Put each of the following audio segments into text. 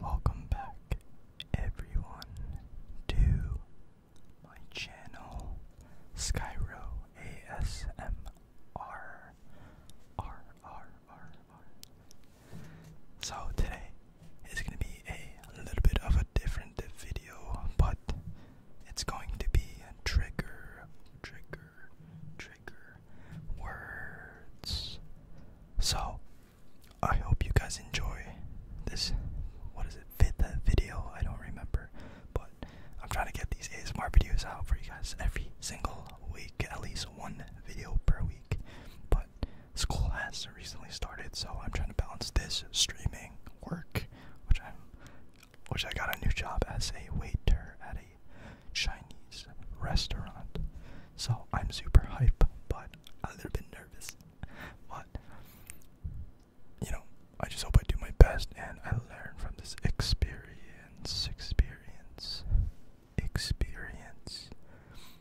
Welcome back, everyone, to my channel, Skyro So today it's gonna be a little bit of a different video, but it's going to be a trigger, trigger, trigger words. So I hope you guys enjoy this. What is it? Fifth video? I don't remember, but I'm trying to get these ASMR videos out for you guys every single week, at least one video per week. But school has recently started, so I'm trying to balance this streaming work, which I'm, which I got a new job as a waiter at a Chinese restaurant. So I'm super hype, but a little bit nervous. But you know, I just hope I do my best and I learn from this experience, experience, experience.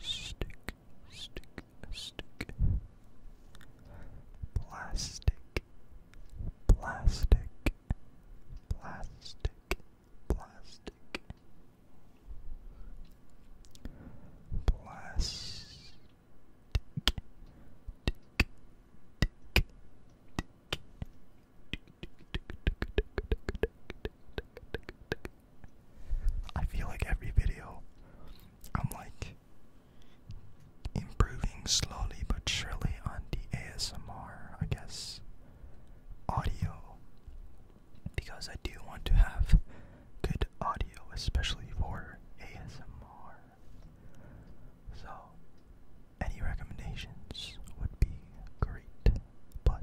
Stick, stick, stick. Plastic, plastic, plastic, plastic. Plastic, tick, I feel like every video I'm like improving slowly but surely on the ASMR, I guess, audio because I do want to have good audio, especially for ASMR. So, any recommendations would be great, but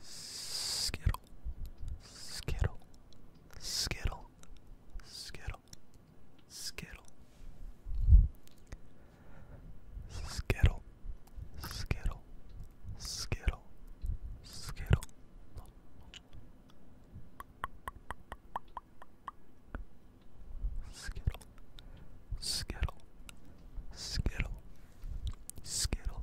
Skittle, skittle, skittle, skittle, skittle, skittle, skittle, skittle, skittle. Skittle, skittle, skittle, skittle,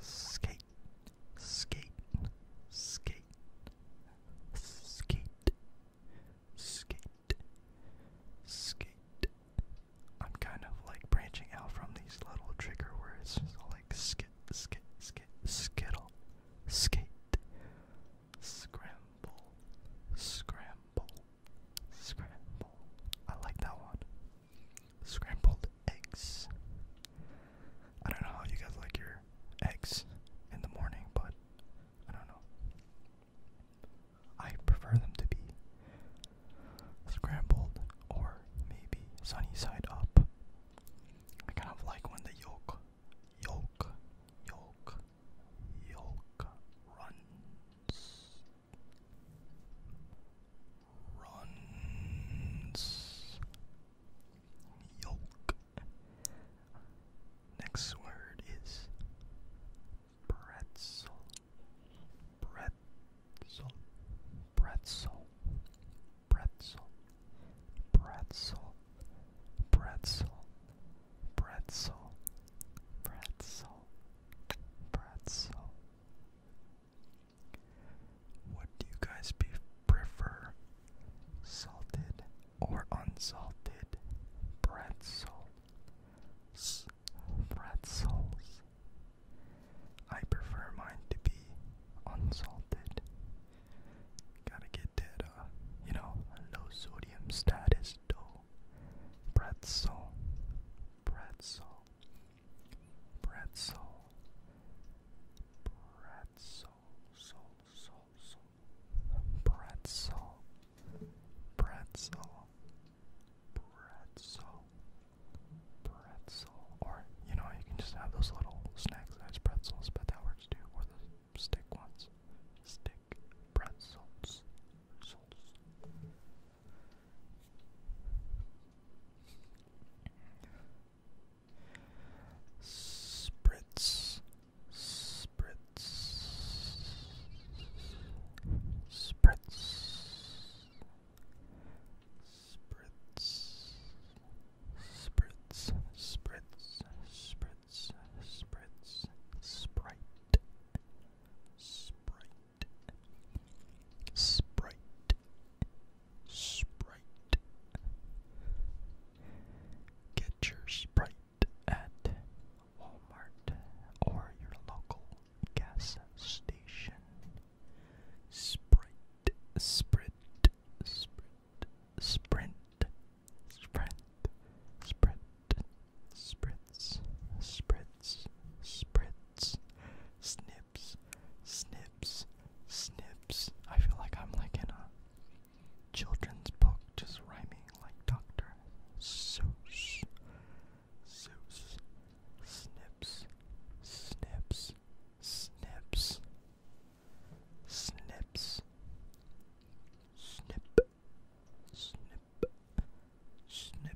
skate, skate, skate, skate, skate, skate. I'm kind of like branching out from these little trigger words, like skit, skit, skit, skittle, skate, scramble, scramble, scramble. I like that one. Scrambled eggs. I don't know how you guys like your eggs in the morning, but I don't know. I prefer them to be scrambled or maybe sunny side up. I kind of like when the yolk, yolk, yolk, yolk runs runs yolk. Next word is pretzel. Pretzel. Pretzel. Pretzel. Pretzel. Pretzel. Pretzel. Pretzel. Pretzel. What you guys prefer? Salted or unsalted pretzels? Pretzels. I prefer mine to be unsalted. Gotta get that, uh, you know, low sodium status dough. Pretzel. Pretzel. Pretzel. Pretzel. Soul, soul, soul. Pretzel. Pretzel. Pretzel. Pretzel. Or, you know, you can just have those little snack-sized pretzels, but that works too, or the stick ones. Stick pretzels. Souls. Spritz, spritz, spritz, spritz, spritz, spritz, spritz, spritz, sprite, sprite. Sprite, Sprite. Get your Sprite at Walmart or your local gas station. Sprite, Sprint, Sprint, Sprint, Sprint, Sprint, Spritz, Spritz, Spritz snips, snips, snips, snips. I feel like I'm like in a children's book, just rhyming like Doctor Seuss. Seuss, snips, snips, snips, snips, snip, snip, snip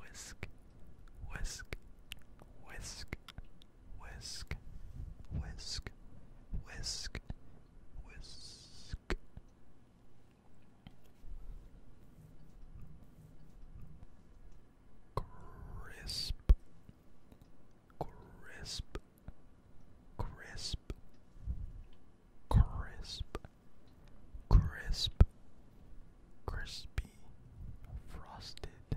whisk, whisk, whisk, whisk, whisk, whisk, whisk. Crisp, crisp, crisp, crisp, crispy, frosted,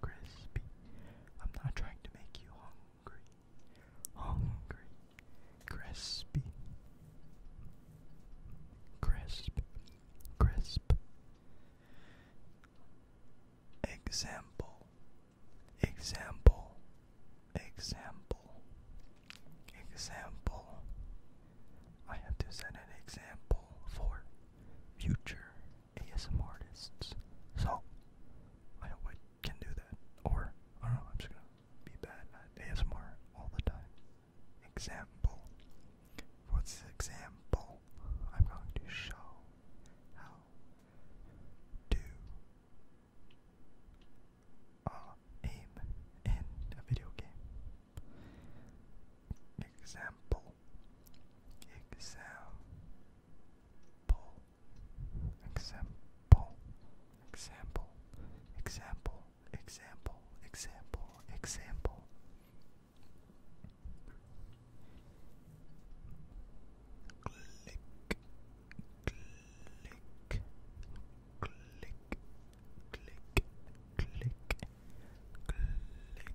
crispy. I'm not trying to make you hungry. Hungry. Crispy. Crisp. Crisp. Example. Example. Example. Example. I have to set an example for future ASM artists. So I hope I can do that. Or I don't know, I'm just gonna be bad at ASMR all the time. Example. What's the example? I'm going to show how to uh, aim in a video game. Example. Example example, example, example, example, example, example, example. Click, click, click, click, click, click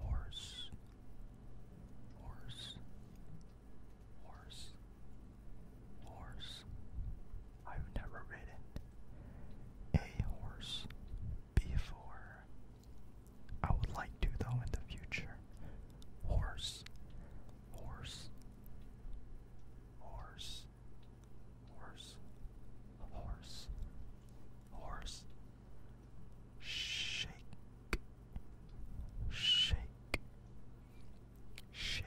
Horse, horse, horse, horse. I've never ridden a horse before. I would like to, though, in the future horse, horse, horse, horse, horse, horse, shake, shake, shake, shake.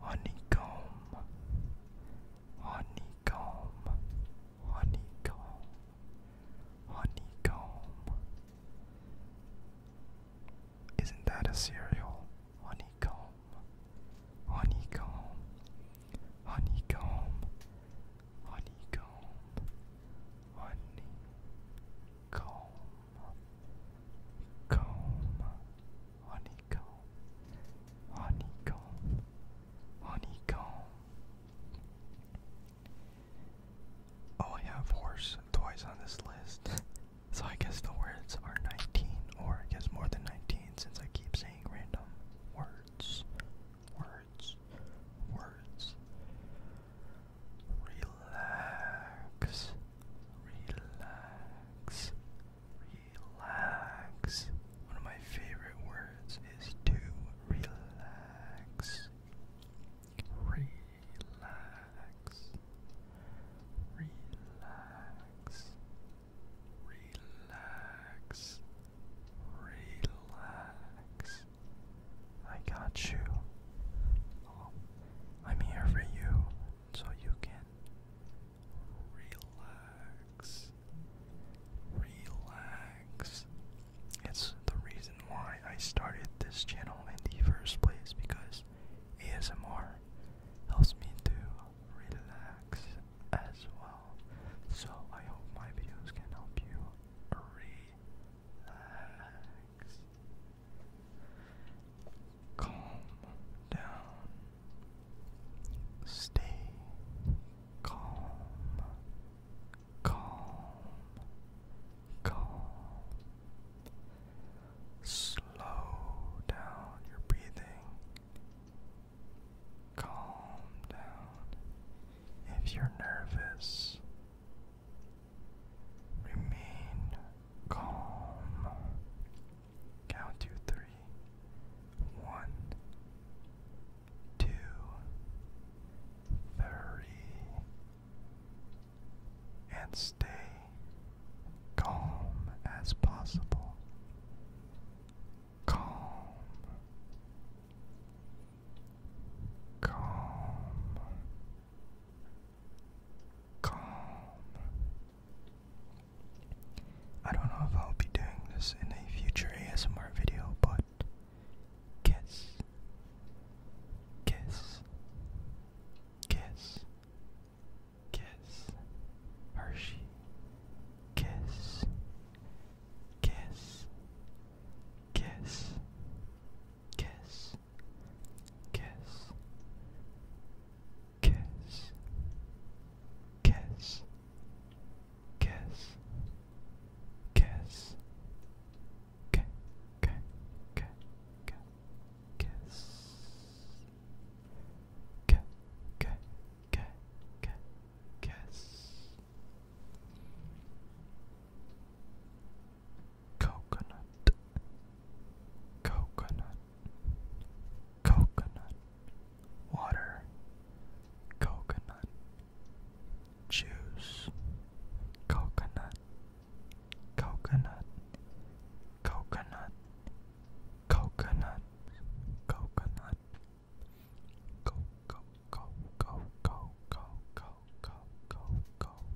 Honeycomb, honeycomb, honeycomb, honeycomb. Isn't that a cereal? Honeycomb, honeycomb, honeycomb, honeycomb, honey, Comb, comb, honeycomb, honeycomb, honeycomb. Oh, I have horse toys on this list. so I guess the words are 19, or I guess more than 19 since I keep saying random words. Words. Words. Relax, relax, relax. One of my favorite words is to relax. Relax, relax, relax, relax, I got you. Oh, I'm here for you so you can relax. Relax. It's the reason why I started this channel in the first place because ASMR helps me to relax as well. So I hope my videos can help you relax, calm down, stay calm, calm, calm, slow down your breathing. Calm down. If you're nervous, Remain calm. Count to three. One, two, three. And stay calm as possible. Calm. Calm calm. I don't know if I'll be doing this in a future ASMR video, but kiss, kiss, kiss, kiss, Hershey, kiss, kiss, kiss, kiss, kiss, kiss, kiss, kiss, kiss, k, k, k, k, kiss, k, k, k, k, kiss coconut, coconut, coconut water, coconut juice, coconut, coconut, coconut, coconut, coconut, go, go, go, go, go, go, go, go, go,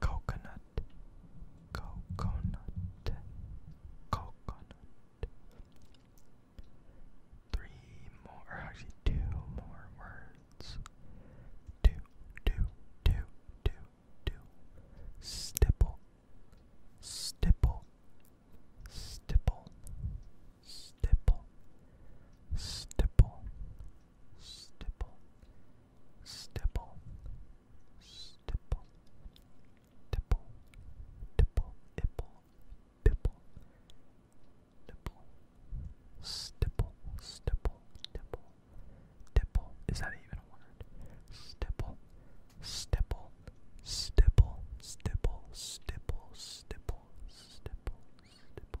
coconut, coconut, coconut. Three more, actually two more words. Do, Stipple, stipple, stipple, stipple, stipple, stipple stipple, stipple, tipple, tipple, ipple, pipple, nipple, stipple, stipple, tipple, tipple. Is that even a word? Stipple, stipple, stipple, stipple, stipple, stipple, stipple, stipple, stipple. Stipple,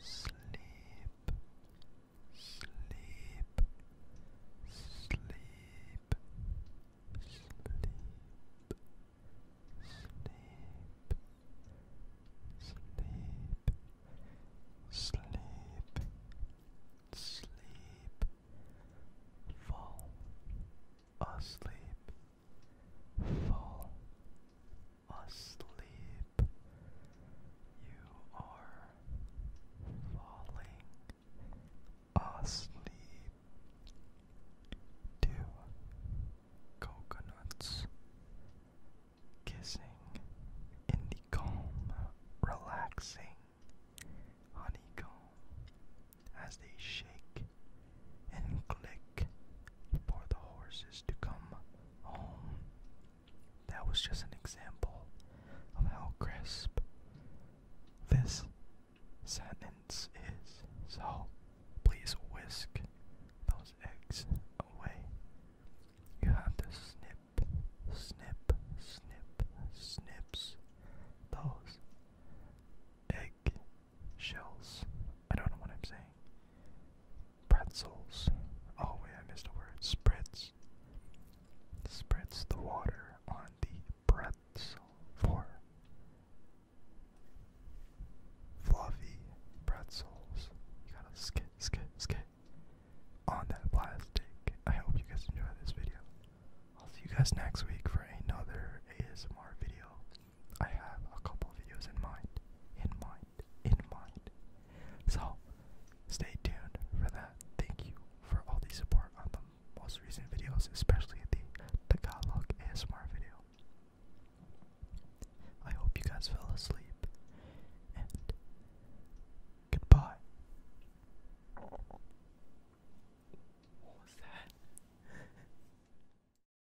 sleep, sleep, sleep, sleep, sleep. Sleep, sleep, sleep, fall asleep, fall asleep. You are falling asleep. Two coconuts kissing in the calm, relaxing honeycomb as they shake and click for the horses to come home. That was just an example of how crisp this sentence is. So please whisk those eggs away. You have to snip, snip, snip, snips those egg shells. I don't know what I'm saying. Pretzels. Oh, wait, I missed a word. Spritz. Spritz the water on the pretzel for fluffy pretzels. You gotta skit, skit, skit on that plastic. I hope you guys enjoyed this video. I'll see you guys next week for another ASMR video. I have a couple videos in mind, in mind, in mind. So stay tuned for that. Thank you for all the support on the most recent videos, especially the Tagalog ASMR video. I hope you guys fell asleep and goodbye. What was that?